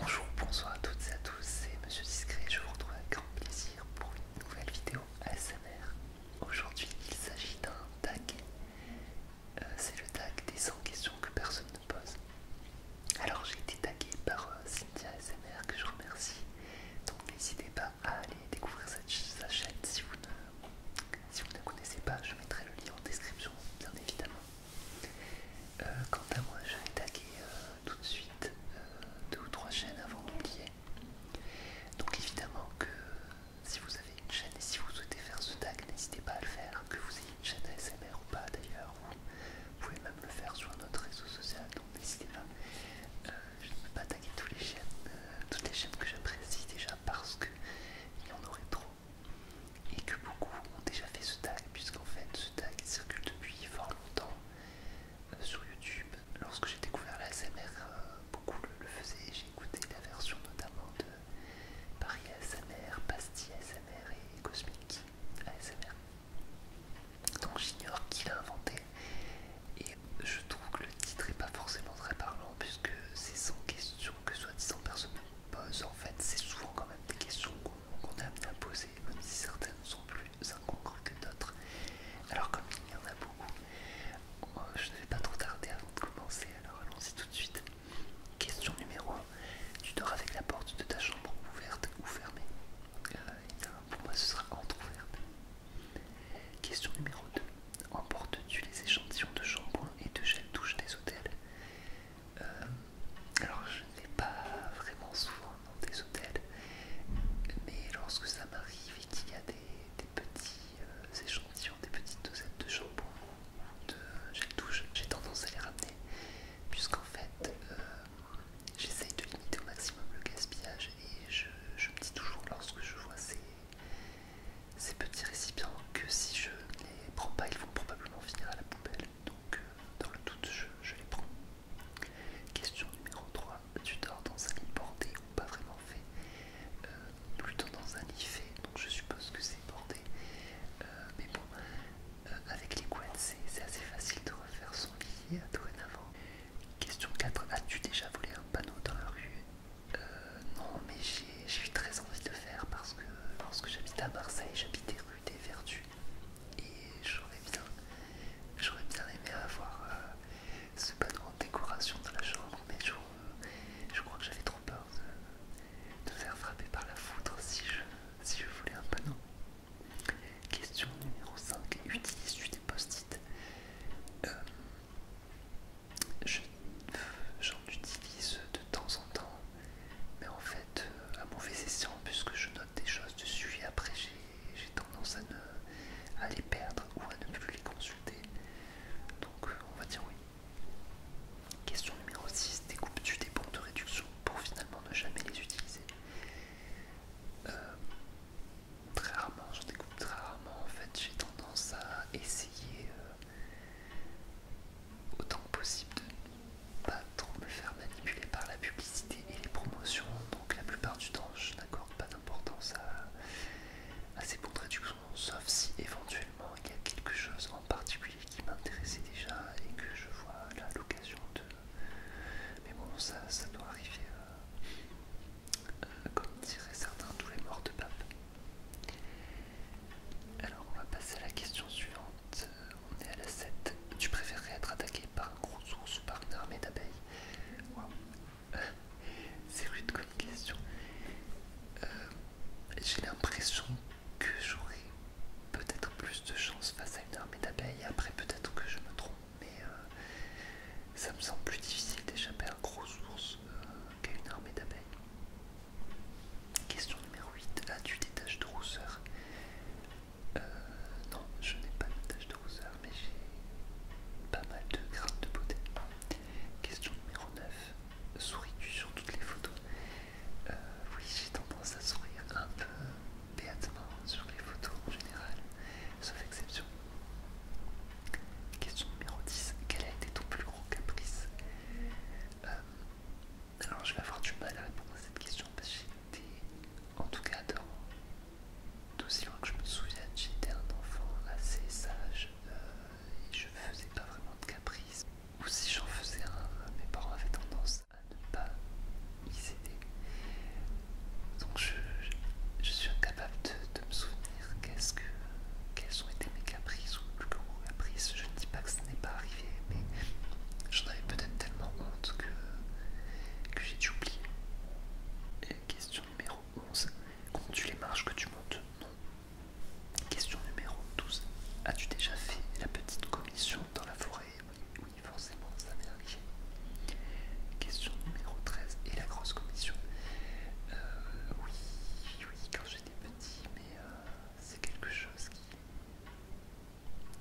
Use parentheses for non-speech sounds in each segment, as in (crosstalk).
Bonjour, bonsoir à toutes et à tous, c'est Monsieur Discret, je vous retrouve avec grand plaisir pour une nouvelle vidéo ASMR. Aujourd'hui il s'agit d'un tag euh, c'est le tag des 100 questions que personne ne pose. Alors j'ai été tagué par euh, Cynthia SMR que je remercie. Donc n'hésitez pas à aller découvrir cette, sa chaîne si vous, ne, si vous ne connaissez pas. Je mettrai le lien en description, bien évidemment. Euh, quant à moi, je vais taguer tout de suite deux ou trois chaînes avant d'oublier. Donc évidemment que si vous avez une chaîne et si vous souhaitez faire ce tag, n'hésitez pas à le faire, que vous ayez une chaîne ASMR ou pas d'ailleurs. Vous pouvez même le faire sur notre réseau social, donc n'hésitez pas. Euh, je ne peux pas taguer toutes les chaînes, euh, toutes les chaînes que j'apprécie déjà parce qu'il y en aurait trop et que beaucoup ont déjà fait ce tag puisqu'en fait ce tag circule depuis fort longtemps euh, sur YouTube. Lorsque j'ai découvert la SMR, beaucoup le, faisaient. J'ai écouté la version notamment de Paris ASMR, Pasti ASMR et Cosmic ASMR. Donc j'ignore qui l'a inventé et je trouve que le titre n'est pas forcément très parlant puisque c'est sans question que soi-disant personne ne pose. En fait, c'est souvent quand même des questions qu'on est amené à poser, même si certaines sont plus incongrues que d'autres. Alors comme il y en a beaucoup, Oh, je ne vais pas trop tarder avant de commencer, alors allons-y tout de suite. Question numéro 1. Tu dors avec la porte de ta chambre ouverte ou fermée euh, Pour moi, ce sera entre-ouverte. Question numéro 2. Emportes-tu les échantillons de shampoing et de gel douche des hôtels euh, Alors, je ne vais pas vraiment souvent dans des hôtels, mais lorsque ça m'arrive et qu'il y a des petits des euh, échantillons, des petites dosettes de shampoing, de gel douche, j'ai tendance à les ramener, puisqu'en fait, euh, j'essaye de limiter au maximum le gaspillage et je, me dis toujours lorsque je vois ces, petits récipients que si je ne les prends pas, ils vont probablement finir à la poubelle. Donc, euh, dans le doute, je les prends. Question numéro 3 tu dors dans un lit bordé ou pas vraiment fait, euh, plutôt dans un lit fait, donc je suppose que c'est bordé. Euh, mais bon, euh, avec les couettes, c'est assez facile de refaire son lit dorénavant. Question 4, as-tu déjà volé un panneau dans la rue Non, mais j'ai eu très envie de le faire parce que lorsque j'habite à Marseille, j'habitais rue des Vertus et j'aurais bien, bien aimé avoir ce panneau décoration dans la chambre, mais je, crois que j'avais trop peur de, faire frapper par la foudre si je, je voulais un panneau. Question numéro 5. Utilise-tu des post-it euh, J'en utilise de temps en temps, mais en fait, euh, à mauvais escient, puisque je note des choses dessus et après j'ai tendance à, ne, à les perdre ou à ne plus les consulter. Donc euh, on va dire oui. Question numéro 6. découpe tu des bons de réduction pour finalement ne jamais les utiliser euh, Très rarement, j'en découpe très rarement. En fait, j'ai tendance à essayer euh, autant que possible de ne pas trop me faire manipuler par la publicité et les promotions. Donc la plupart du temps, je n'accorde pas d'importance à assez bonne traduction, sauf si éventuellement il y a quelque chose en particulier qui m'intéressait déjà et que je vois là l'occasion de. Mais bon, ça, ça doit arriver, euh, euh, comme diraient certains, tous les morts de pape. Alors, on va passer à la question suivante. On est à la 7. Tu préférerais être attaqué par un gros ours ou par une armée d'abeilles (laughs) C'est rude comme question. Euh, j'ai l'impression que j'aurais peut-être plus de chance face à une armée d'abeilles. Après, peut-être que je me trompe, mais euh, ça me semble plus difficile d'échapper à un gros ours euh, qu'à une armée d'abeilles. Question numéro 8. As-tu des taches de rousseur Non, je n'ai pas de taches de rousseur mais j'ai pas mal de grains de beauté. Question numéro 9. Souris-tu sur toutes les photos euh, Oui, j'ai tendance à sourire un peu béatement sur les photos en général, sauf exception. Question numéro 10. Quel a été ton plus grand caprice euh, alors je vais avoir du mal à répondre à cette question parce que été en tout cas dans d'aussi loin que je me souvienne, j'étais un enfant assez sage euh, et je faisais pas vraiment de caprices. Ou si j'en faisais un, euh, mes parents avaient tendance à ne pas y céder. Donc je, suis incapable de, me souvenir quest que quelles ont été mes caprices ou plus gros caprices. Je ne dis pas que ce n'est pas arrivé, mais j'en avais peut-être tellement honte que, que j'ai dû oublier. question numéro 11. Comptes-tu les marches que tu montes Non. Question numéro 12. As-tu déjà fait la petite commission dans la forêt Oui, forcément, ça m'est arrivé. Question numéro 13. Et la grosse commission euh, Oui, oui, quand j'étais petit, mais euh, c'est quelque chose qui...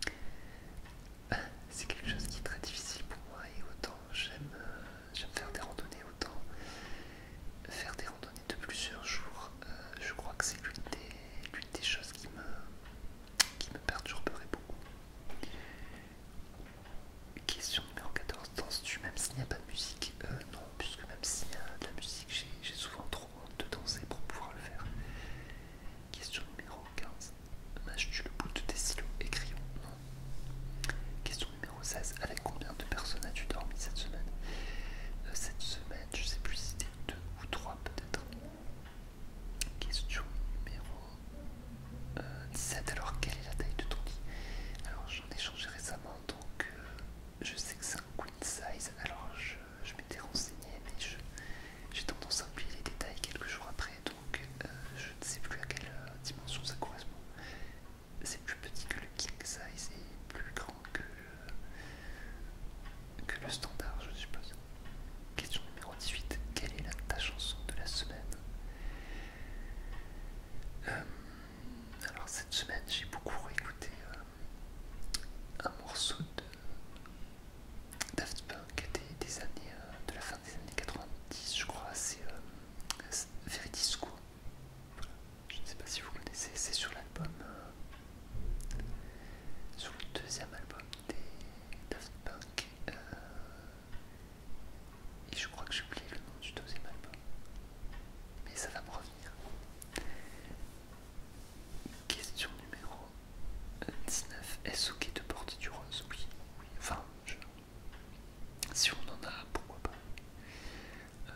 (laughs) C'est quelque chose qui est très difficile pour moi et autant j'aime euh, j'aime faire des randonnées autant. Faire des randonnées de plusieurs jours, euh, je crois que c'est l'une des, l'une des choses qui me, qui me perturberait beaucoup. Question numéro 14, danses-tu même s'il n'y a pas de musique euh, Non, puisque même s'il y a de la musique, j'ai souvent trop honte de danser pour pouvoir le faire. Question numéro 15, mâche tu le bout de tes stylos et crayons Non. Question numéro 16. Avec combien de personnes as-tu dormi cette semaine euh, Cette semaine, je sais plus si c'était 2 ou 3 peut-être. Question numéro 17. Euh, Alors, quelle est la taille de ton lit Alors, j'en ai changé récemment, donc euh, je sais que c'est un queen size. Alors, je, m'étais renseigné, mais j'ai tendance à oublier les détails quelques jours après, donc euh, je ne sais plus à quelle euh, dimension ça correspond. C'est plus petit que le king size et plus grand que le, euh, que le standard, je suppose. Question numéro 18. Quelle est la, ta chanson de la semaine Alors cette semaine, j'ai beaucoup réécouté un morceau de Daft des années, euh, de la fin des années 90, je crois, c'est euh, Je ne sais pas si vous connaissez, c'est sur l'album, euh, sur le deuxième album des Daft Punk. Euh, et je crois que j'ai oublié le nom du deuxième album, mais ça va me revenir. Question numéro 19. Est-ce ok de porter du rose Oui, oui. Enfin, si on en a, pourquoi pas euh,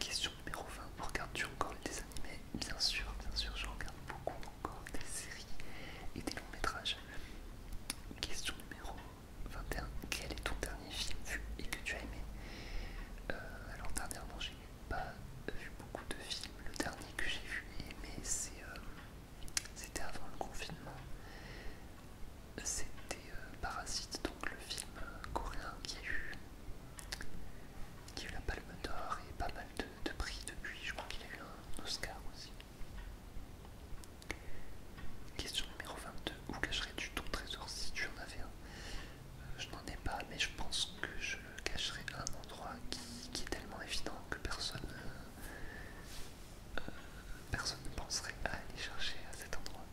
Question numéro 20. Regardes-tu encore des animés Bien sûr, bien sûr, je regarde beaucoup encore des séries et des longs métrages. Question numéro 21. Quel est ton dernier film vu et que tu as aimé euh, Alors, dernièrement, j'ai pas vu beaucoup de films. Le dernier que j'ai vu et aimé, c'est. Euh, c'était avant le confinement. C'était euh, Parasite, donc le film euh, coréen qui a eu, la Palme d'Or et pas mal de, prix depuis. Je crois qu'il a eu un Oscar aussi. Question numéro 22. Où cacherais-tu ton trésor si tu en avais un euh, Je n'en ai pas, mais je pense que je le cacherais à un endroit qui, est tellement évident que personne euh, personne ne penserait à aller chercher à cet endroit.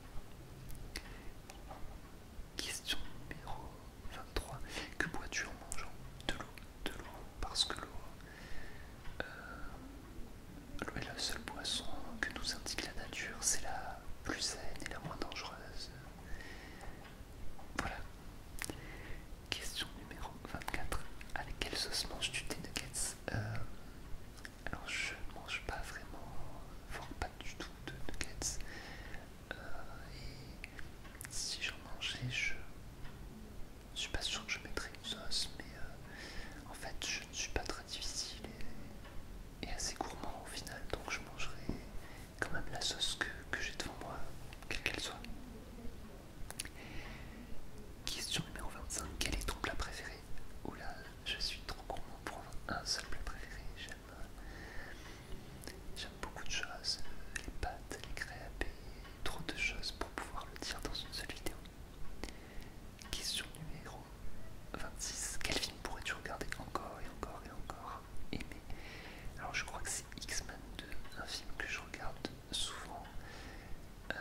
Question numéro 23. Que bois-tu en mangeant De l'eau, de l'eau, parce que l'eau... Euh, l'eau est la seule boisson que nous indique la nature, c'est la plus saine et la moins dangereuse. Voilà. Question numéro 24. Avec quelle sauce manges-tu des nuggets euh, Alors je ne mange pas vraiment, voire pas du tout de nuggets. Euh, et si j'en mangeais, je ne suis pas sûr que je mettrais une sauce, mais euh, en fait je ne suis pas très difficile et, assez gourmand au final, donc je mangerai quand même la sauce que j'ai devant moi, quelle qu'elle soit. Question numéro 25. Quel est ton plat préféré Oula, oh je suis trop gourmand pour un seul plat préféré. J'aime beaucoup de choses. Les pâtes, les crêpes trop de choses pour pouvoir le dire dans une seule vidéo. Question numéro 26. Quel film pourrais-tu regarder encore et encore et encore Aimer Alors je crois que c'est X-Men 2, un film que je regarde souvent, euh,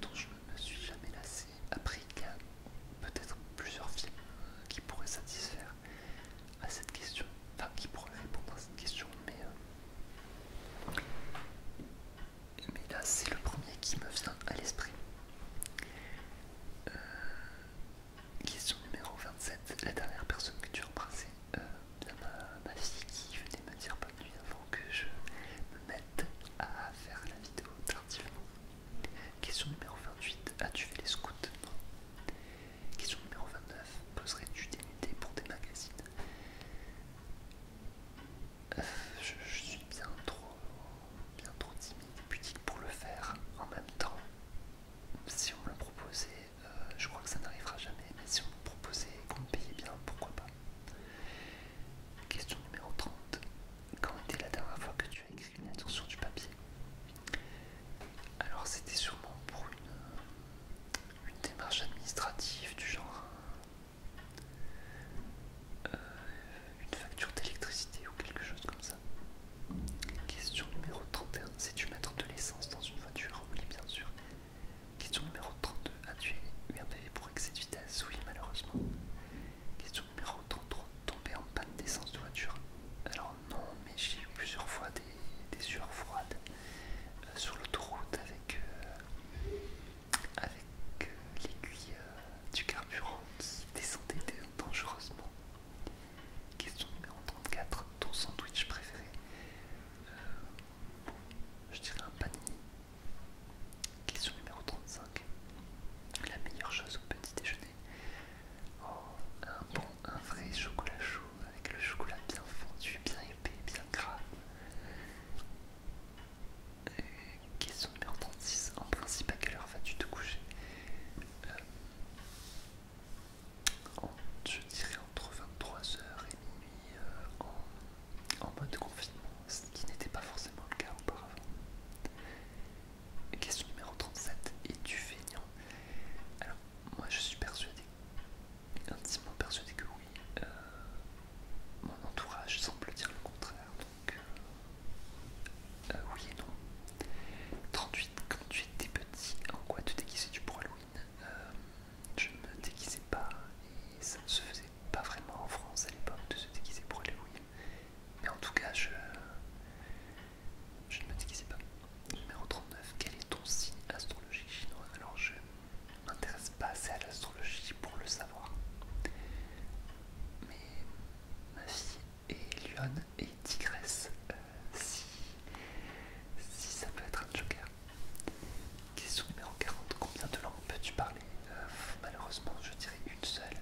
dont je ne me suis jamais lassé. Après, il y a peut-être plusieurs films euh, qui pourraient satisfaire à cette question, enfin qui pourraient répondre à cette question, mais, euh, mais là c'est le premier qui me vient à l'esprit. question numéro 27, la dernière personne que tu as embrassée euh, ma, fille qui venait me dire bonne nuit avant que je me mette à faire la vidéo tardivement. Question numéro 28, as-tu fait les scouts Question numéro 29, poserais-tu des idées pour des magazines euh, je, suis bien trop, bien trop timide et pudique pour le faire en même temps. Si on me le proposait, euh, je crois que ça n'arrivera jamais, mais si on me proposait qu'on me payait bien, pourquoi pas Question numéro 30. Quand était la dernière fois que tu as écrit une lettre sur du papier Alors c'était sûrement pour une, euh, démarche administrative du genre euh, une facture d'électricité ou quelque chose comme ça. Question numéro 31. c'est tu mettre de l'essence dans une voiture Oui bien sûr. Question numéro 32. As-tu eu un bébé pour excès de vitesse Oui, malheureusement. Question numéro 33. Tomber en panne d'essence de voiture Alors non, mais j'ai eu plusieurs fois des, des sueurs froides euh, sur l'autoroute avec, euh, avec euh, l'aiguille du carburant qui descendait dangereusement. Question numéro 34. Ton sandwich préféré je dirais un panier. Question numéro 35. La meilleure chose au petit déjeuner. Oh, un bon, un vrai chocolat chaud avec le chocolat bien fondu, bien épais, bien gras. question numéro 36. En principe, à quelle heure vas-tu te coucher euh, je dirais entre 23h et minuit euh, en, mode confinement, ce qui n'était pas forcément le cas auparavant. Question numéro 37, es-tu feignant Alors, moi je suis persuadé, intimement persuadé que oui. Euh, mon entourage semble dire le contraire, donc euh, oui et non. 38, quand tu étais petit, en quoi tu déguisais-tu pour Halloween je me déguisais pas et ça ne se faisait pas vraiment en France à l'époque de se déguiser pour Halloween. Mais en tout cas, je, je ne me déguisais pas. Numéro 39, quel est ton signe astrologique chinois Alors je m'intéresse pas assez à l'astrologie pour le savoir. Mais ma fille est Lyon et tigresse. Euh, si, ça peut être un joker. Question numéro 40. Combien de langues peux-tu parler euh, Malheureusement, je dirais une seule.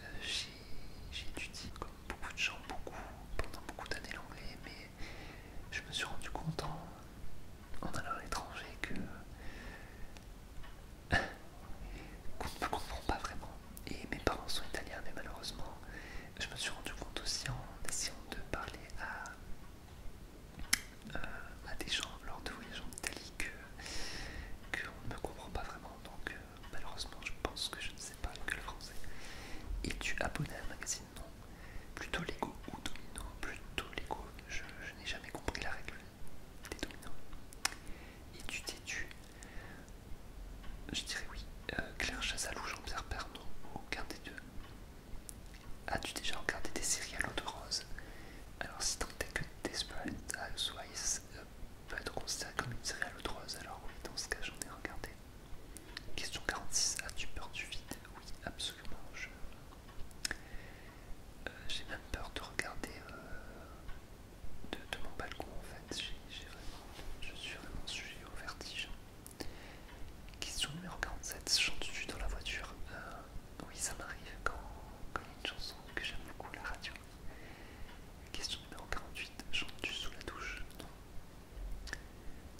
Euh, j'ai étudié, comme beaucoup de gens, beaucoup, pendant beaucoup d'années l'anglais, mais je me suis rendu compte en, allant à l'étranger que (laughs) qu'on ne me comprend pas vraiment. Et mes parents sont italiens, mais malheureusement, je me suis rendu compte aussi en essayant de parler à, euh, à des gens lors de voyages en Italie que, ne me comprend pas vraiment. Donc euh, malheureusement, je pense que je ne sais pas que le français. Et tu abonné à un magazine Non. Plutôt Lego ou Domino Plutôt Lego. Je, n'ai jamais compris la règle des dominos. Et tu têtu Je dirais oui. Euh, Claire Chassalou, Jean-Pierre Pernon, aucun des deux. As-tu déjà regardé des séries à l'eau de rose Alors si tant est que Desperate Housewives peut être considéré comme une série à l'eau de rose, alors oui, dans ce cas j'en ai regardé. Question 46, as-tu peur du vide Oui, absolument. J'ai je... Euh, j'ai même peur de regarder euh, de, mon balcon en fait. J'ai je suis vraiment sujet au vertige. Question numéro 47, chantes-tu dans la voiture euh, Oui, ça m'arrive quand il y a une chanson que j'aime beaucoup la radio. Question numéro 48, chantes-tu sous la douche Non.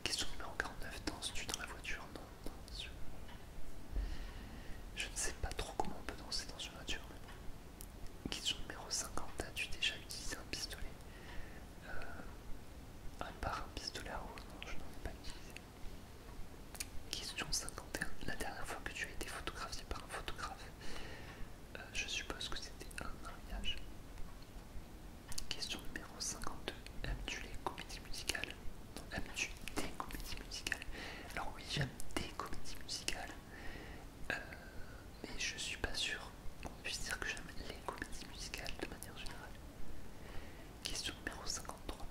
Question numéro 49, danses-tu dans la voiture Non, Je... ne sais pas trop comment on peut danser dans une voiture. Question numéro 50, as-tu déjà utilisé un pistolet euh, un par un pistolet à rose, non, je n'en ai pas utilisé. Question 51. La dernière fois que tu as été photographié par un photographe, euh, je suppose que c'était un mariage. Question numéro 52. Aimes-tu les comédies musicales Non, aimes-tu des comédies musicales Alors oui, j'aime des comédies musicales, euh, mais je suis pas sûr dire que j'aime les comédies musicales de manière générale. Question numéro 53.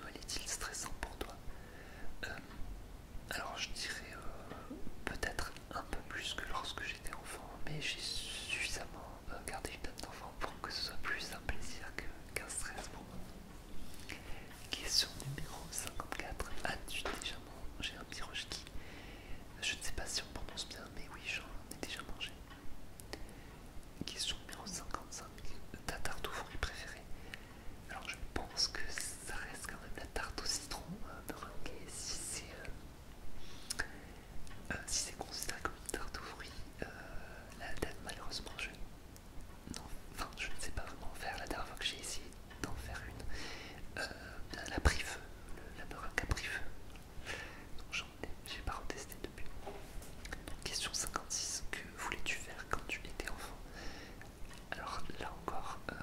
Noël est-il stressant pour toi euh, Alors, je dirais euh, peut-être un peu plus que lorsque j'étais enfant, mais j'ai suffisamment euh, gardé une âme d'enfant pour que ce soit plus un plaisir qu'un stress pour moi. Question numéro 54. As-tu déjà mangé un je ne sais pas si on prononce bien, mais oui, j'en ai déjà mangé. Question numéro 55, ta tarte aux fruits préférée Alors je pense que ça reste quand même la tarte au citron euh, meringuée, euh, euh, si c'est considéré comme une tarte aux fruits. la date, malheureusement, je, non, je ne sais pas vraiment faire. La dernière fois que j'ai essayé d'en faire une, la pris la meringue à pris j'en ai, j'ai pas retesté depuis. question 56, que voulais-tu faire quand tu étais enfant Alors là encore, euh,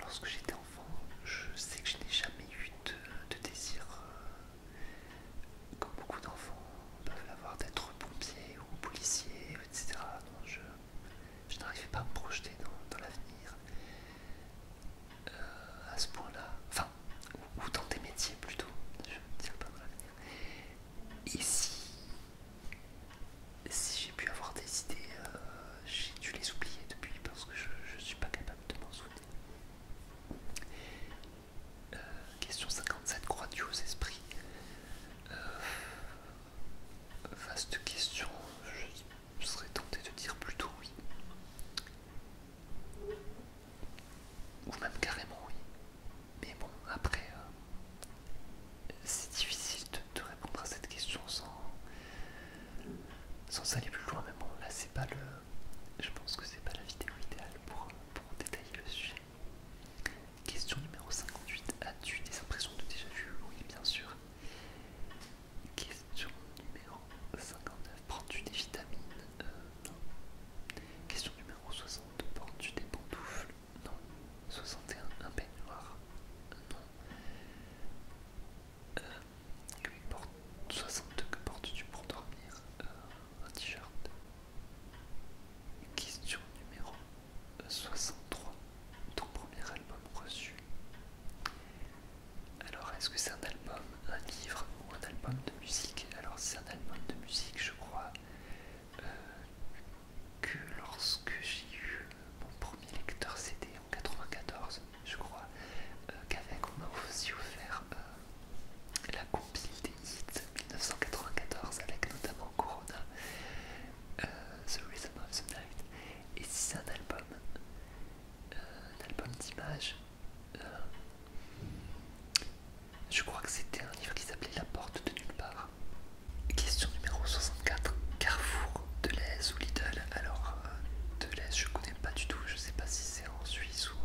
lorsque j'étais enfant, je sais que je n'ai jamais eu de, désir, euh, comme beaucoup d'enfants peuvent l'avoir, d'être pompier ou policier, etc. je, n'arrivais pas à me projeter dans l'avenir. Euh, à ce point-là, enfin, ou, dans des métiers plutôt, je ne dirais pas dans l'avenir. Et si, j'ai pu avoir des idées, euh, j'ai dû les oublier depuis parce que je ne suis pas capable de m'en souvenir. Euh, question 57, crois-tu aux esprits Vaste question, je je serais tenté de dire plutôt oui. Ou même carrément oui. Mais bon, après, euh, c'est difficile de, répondre à cette question sans, sans aller plus loin. Mais bon, là, c'est pas le. Je pense que c'est pas la vidéo idéale pour, pour détailler le sujet. Question numéro 58. As-tu des impressions de déjà vu Oui, bien sûr. Question numéro 59. Prends-tu des vitamines euh, Non. Question numéro 62. Prends-tu des pantoufles Non. 61. Un peignoir Non. Question euh, que 62. Que portes-tu pour dormir euh, Un t-shirt. Question numéro 63. Ton premier album reçu alors, est-ce que c'est un album, un livre ou un album de musique Alors, c'est un album de musique, je crois, euh, que lorsque j'ai eu euh, mon premier lecteur CD en 1994, je crois, euh, qu'avec on m'a aussi offert la compile des 1994 avec notamment Corona, The Rhythm of the Night. Et si c'est un album, un album d'images. Euh, je crois que c'était un livre qui s'appelait La porte de nulle part. Question numéro 64. Carrefour, Deleuze ou Lidl Alors, euh, Deleuze, je connais pas du tout. Je sais pas si c'est en Suisse ou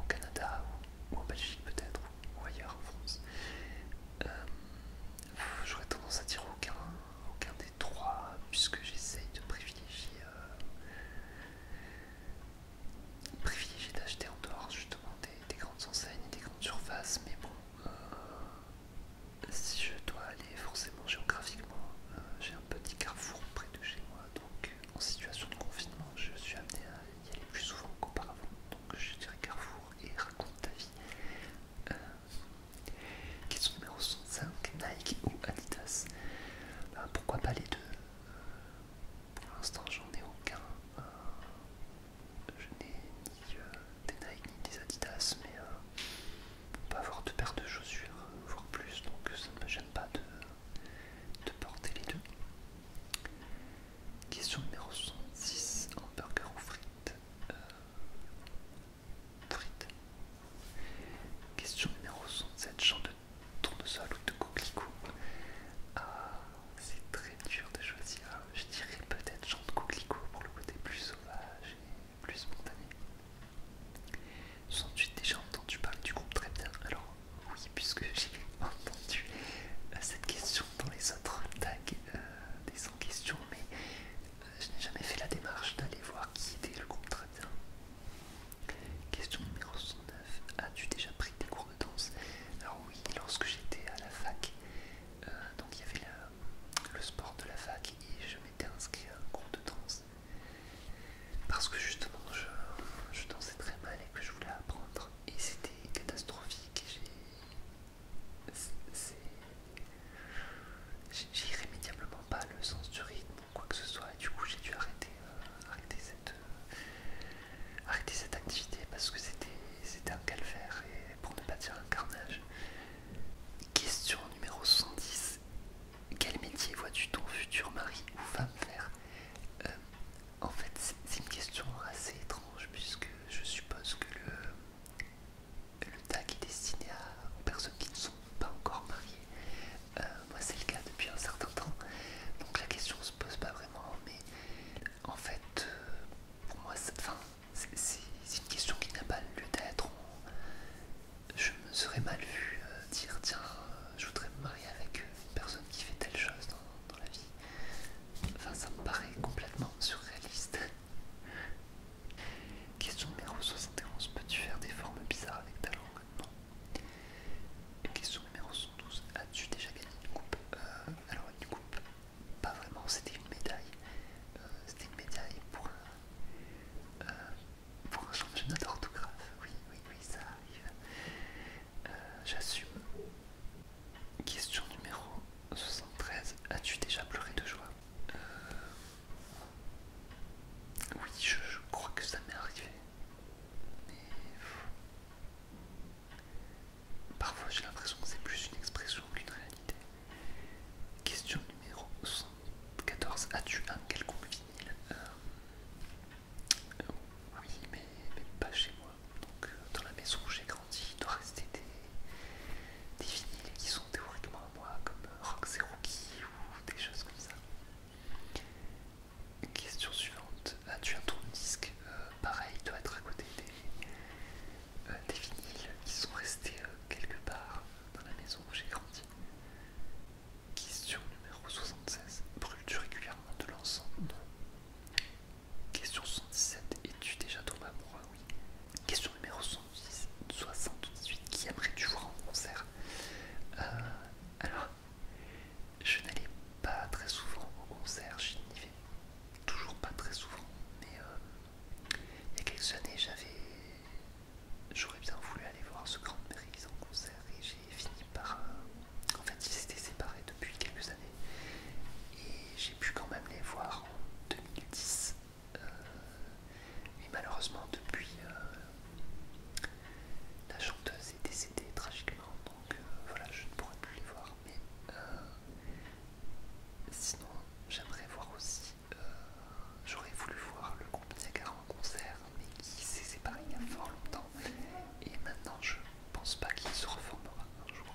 au Canada ou, en Belgique peut-être ou ailleurs en France. Euh, j'aurais tendance à dire aucun aucun des trois, puisque j'essaye de privilégier, euh, d'acheter en dehors justement des, grandes enseignes et des grandes surfaces, mais bon, si euh, je dois aller forcément géographiquement, euh, j'ai un petit carrefour près de chez moi, donc en situation de confinement, je suis amené à y aller plus souvent qu'auparavant, donc je dirais carrefour et raconte ta vie. Question numéro 65, Nike ou Adidas. Ben, pourquoi pas les deux Pour l'instant, j'en ai aucun. Euh, je n'ai ni euh, des Nike ni des Adidas, mais euh, pas on peut avoir deux paires de chaussures, voire plus, donc ça ne me gêne pas de, de porter les deux. Question numéro 66, hamburger ou frites Question numéro 67, champ de tournesol ou de coquelicot Ah, c'est très dur de choisir. Je dirais peut-être chant de coquelicot pour le côté plus sauvage et plus spontané. 68, déjà entendu parler du groupe très bien. Alors, oui, puisque (laughs) j'ai entendu euh, cette question dans les autres tags euh, des 100 questions, mais je n'ai jamais fait la démarche d'aller voir qui était le bien. Question numéro 69. As-tu déjà pris des cours de danse Alors oui, lorsque j'étais à la fac, euh, donc il y avait le sport de la fac et je m'étais inscrit à un cours de danse. Parce que justement je, je dansais très mal et que je voulais apprendre. Et c'était catastrophique. C'est j'ai irrémédiablement pas le sens du rythme ou quoi que ce soit et du coup j'ai dû arrêter, euh, arrêter, cette, euh, arrêter cette activité parce que c'était un calvaire et pour ne pas dire un carnage. Question numéro 70. Quel métier vois-tu ton futur mari ou femme faire euh, En fait, c'est une question assez étrange puisque je suppose que le, le tag est destiné à, aux personnes qui ne sont pas encore mariées. Euh, moi, c'est le cas depuis un certain temps. Donc la question se pose pas vraiment, mais en fait, euh, pour moi, c'est une question qui n'a pas lieu d'être. Je me serais mal vu euh, dire tiens, je voudrais me marier avec une personne qui fait telle chose dans, dans la vie. Enfin, ça me paraît complètement surréaliste. Question numéro 71. Peux-tu faire des formes bizarres avec ta langue Non. Question numéro 112. As-tu déjà gagné une coupe euh, Alors une coupe, pas vraiment, c'était une médaille. Euh, c'était une médaille pour un, euh, pour d'orthographe. Oui, oui, oui, ça arrive. J'assume. Question numéro 73. As-tu déjà pleuré de joie oui, je, crois que ça m'est arrivé. Mais. Parfois j'ai l'impression que c'est plus une expression qu'une réalité. Question numéro 74. As-tu un quelconque vinyle euh, euh, Oui, mais, pas chez moi. Donc, euh, dans la maison où j'ai grandi, il doit rester des, des vinyles qui sont théoriquement moi, comme Roxy Rookie ou des choses comme ça. question suivante. As-tu un tourne-disque euh, Pareil, doit être à côté des, euh, vinyles qui sont restés euh, quelque part dans la maison où j'ai grandi. Question numéro 76. Brûles-tu régulièrement de l'ensemble? Question 77. Es-tu déjà tombé amoureux Oui. Question numéro soixante-dix-huit qui après tu en concert euh, Alors, je n'allais pas très souvent au concert, je n'y vais toujours pas très souvent, mais euh, il y a quelques années j'avais j'aurais bien voulu aller voir ce grand Mérisse en concert et j'ai fini par... Euh, en fait ils s'étaient séparés depuis quelques années et j'ai pu quand même les voir en 2010 mais euh, malheureusement, depuis, euh, la chanteuse est décédée tragiquement, donc euh, voilà, je ne pourrai plus les voir. Mais sinon, j'aimerais voir aussi, j'aurais voulu voir le groupe Niagara en concert, mais qui s'est séparé il y a fort longtemps, et maintenant je ne pense pas qu'il se reformera un jour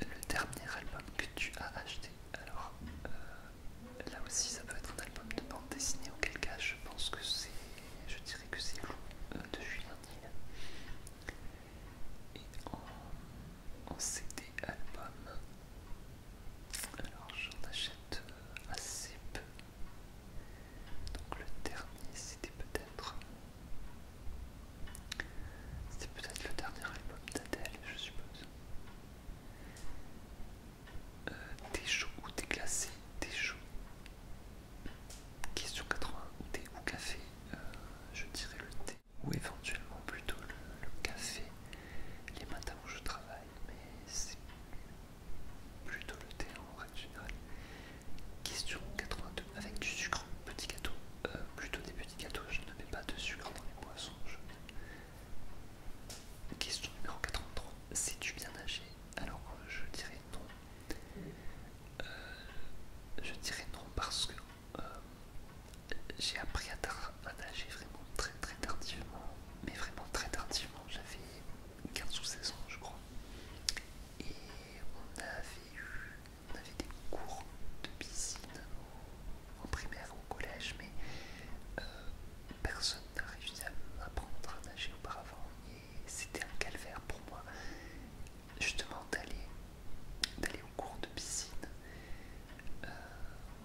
le dernier album que tu as acheté. Alors euh, là aussi ça peut être un album de bande dessinée auquel cas je pense que c'est je dirais que c'est vous, euh, de Julien Et en, CD album alors j'en achète euh, assez peu. Donc le dernier c'était peut-être c'était peut-être le dernier album d'Adèle, je suppose. Euh, des ou des glacés, des chaud. Question 80, thé ou café, euh, je dirais le thé ou éventuellement plutôt le, le café les matins où je travaille, mais c'est plutôt le thé en règle générale. Question 82, avec du sucre, petit gâteau, euh, plutôt des petits gâteaux, je ne mets pas de sucre dans les poissons. Question numéro 83, sais-tu bien nager Alors je dirais non. Euh, je dirais non parce que euh, j'ai appris à, à nager vraiment très très tardivement, mais vraiment très tardivement, j'avais 15 ou 16 ans je crois. Et on avait eu on avait des cours de piscine au, en primaire ou au collège, mais euh, personne n'a réussi à m'apprendre à nager auparavant et c'était un calvaire pour moi justement d'aller d'aller au cours de piscine euh,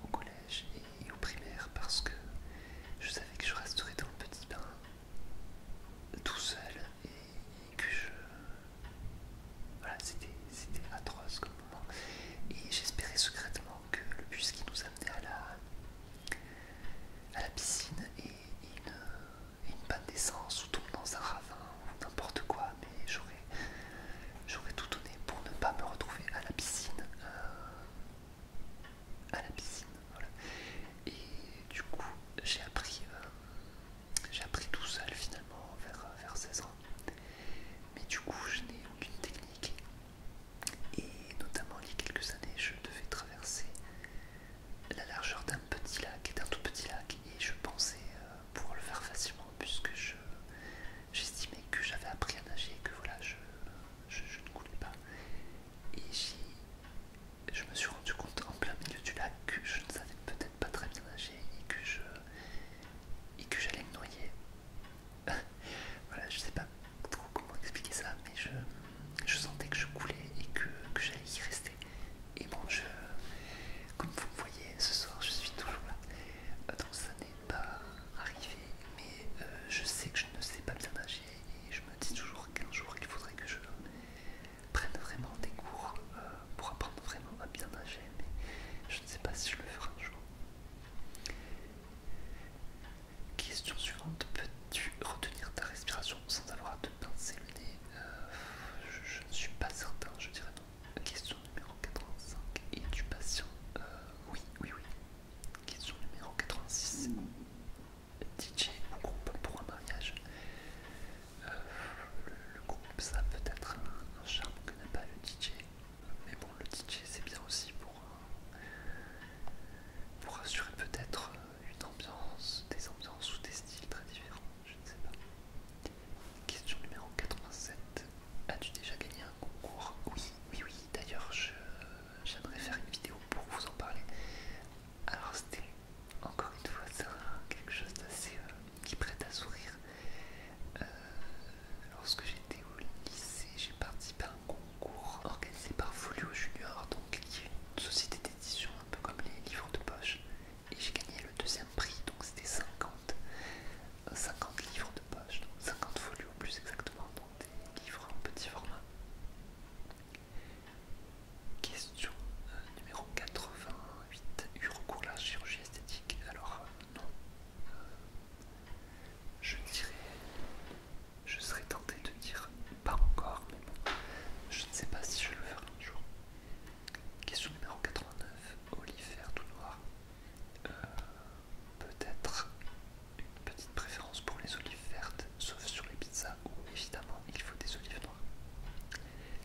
au collège et, au primaire parce que je savais que je resterais dans le petit bain tout seul et que je voilà, c'était atroce comme moment. Et j'espérais secrètement que le bus qui nous amenait à la, à la piscine et une, une panne d'essence ou tombe dans un ravin ou n'importe quoi, mais j'aurais tout donné pour ne pas me retrouver à la piscine. Euh, à la piscine, voilà. Et du coup, j'ai appris euh, j'ai appris tout seul finalement vers, 16 euh, ans. Mais du coup, je n'ai aucune technique. Et notamment, il y a quelques années, je devais traverser la largeur d'un petit lac, d'un tout petit lac, et je pensais euh, pouvoir le faire facilement puisque j'estimais que j'avais appris à nager et que voilà, je, ne coulais pas. Et je me suis rendu compte en plein milieu du lac que je ne savais peut-être pas très bien nager et que je et que j'allais me noyer. (laughs) voilà, je sais pas trop comment expliquer ça, mais je, je sentais que je coulais et que, j'allais y rester. Et bon, je, comme vous voyez, ce soir, je suis toujours là. Euh, donc ça n'est pas arrivé, mais euh, je sais que je ne sais pas bien nager et je me dis toujours qu'un jour, il faudrait que je prennent vraiment des cours euh, pour apprendre vraiment à bien nager, mais je ne sais pas si je le ferai un jour. Question suivante, peux-tu retenir ta respiration sans avoir à te pincer le nez euh, je, ne suis pas certain, je dirais non. Question numéro 85, es-tu patient euh, Oui, oui, oui. Question numéro 86, DJ ou groupe pour un mariage euh, le, groupe, ça peut être un, charme que n'a pas le DJ. Mais bon, le DJ, c'est bien aussi pour, euh, pour assurer peut-être euh, une ambiance, des ambiances ou des styles très différents. Je ne sais pas. Question numéro 87. As-tu déjà gagné un concours Oui, oui, oui. D'ailleurs, j'aimerais faire une vidéo pour vous en parler. Alors c'était encore une fois ça, quelque chose d'assez euh, qui prête à sourire. Euh, lorsque j'étais au lycée, j'ai participé à un concours organisé par Folio Junior, donc qui est une société d'édition un peu comme les livres de poche. Et j'ai gagné le deuxième prix, donc c'était 50, euh, livres de poche, 50 folios plus exactement, donc des livres en petit format. Question euh, numéro 88. Eu recours à la chirurgie esthétique Alors euh, non. Euh, je dirais... Je serais tenté de dire pas encore, mais je ne sais pas si je le ferai un jour. Question numéro 89. vertes ou ou Euh, Peut-être une petite préférence pour les olives vertes, sauf sur les pizzas évidemment il faut des olives noires.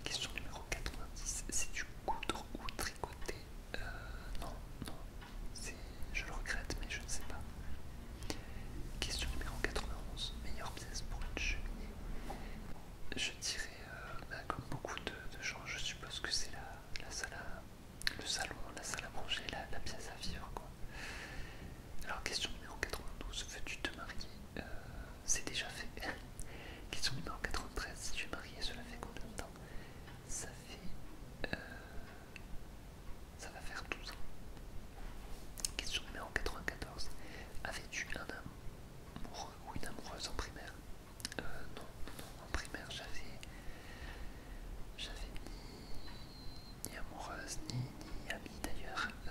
Question numéro 90, c'est du coudre ou tricoter euh, Non, non, je le regrette mais je ne sais pas. Question numéro 91, meilleure pièce pour une cheminée Je dirais, euh, bah, comme beaucoup de, gens, je suppose que c'est la, salle le salon, la salle à manger, la, la pièce à vivre quoi. Alors question numéro 92, veux-tu te marier euh, c'est déjà fait. (laughs) Question numéro en 93, si tu es marié, cela fait combien de temps Ça fait. Euh, ça va faire 12 ans. Question numéro 94. Avais-tu un amoureux ou une amoureuse en primaire euh, non, non, en primaire j'avais. J'avais ni, amoureuse, ni, amie d'ailleurs. Euh,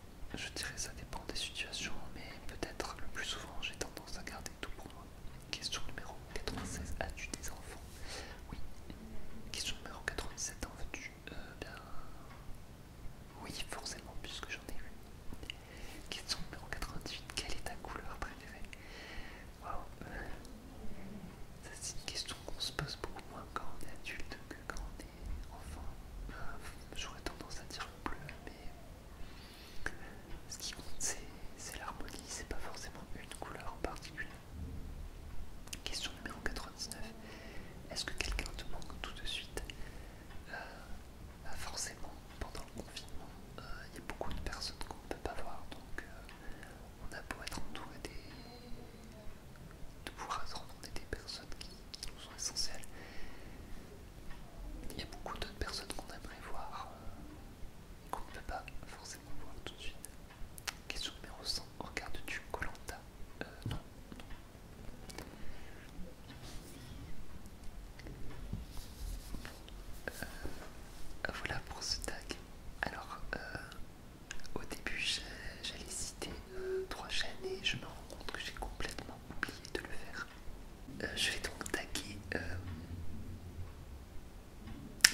je dirais ça dépend des situations, mais peut-être le plus souvent j'ai tendance à garder tout pour moi. Question numéro 96, as-tu des enfants Oui. Question numéro 97, en veux-tu euh, Bien. Oui, forcément, puisque j'en ai eu. Question numéro 98, quelle est ta couleur préférée Waouh c'est une question qu'on se pose beaucoup moins quand on est adulte que quand on est enfin, j'aurais tendance à dire le bleu, mais ce qui compte c'est l'harmonie, c'est pas forcément une couleur en particulier. Question numéro 99, est-ce que quelqu'un te manque tout de suite euh, bah, Forcément, pendant le confinement, euh, il y a beaucoup de personnes qu'on ne peut pas voir, donc euh, on a beau être entouré des de pouvoir se rencontrer des personnes qui, nous sont essentielles. Il y a beaucoup d'autres personnes qu'on aimerait voir euh, qu'on ne peut pas forcément voir tout de suite. Question numéro 100, Regarde tu Colanta euh, Non, euh, voilà pour ce tag. Alors, euh, au début, j'allais citer trois chaînes et je me rends compte que j'ai complètement oublié de le faire. Euh, je vais donc taguer euh,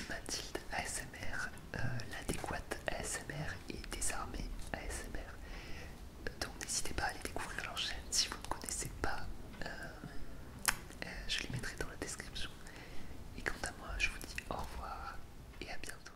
Mathilde ASMR, euh, l'adéquate ASMR et désarmée ASMR. Donc n'hésitez pas à aller découvrir leur chaîne si vous ne connaissez pas. je les mettrai dans la description. Et quant à moi, je vous dis au revoir et à bientôt.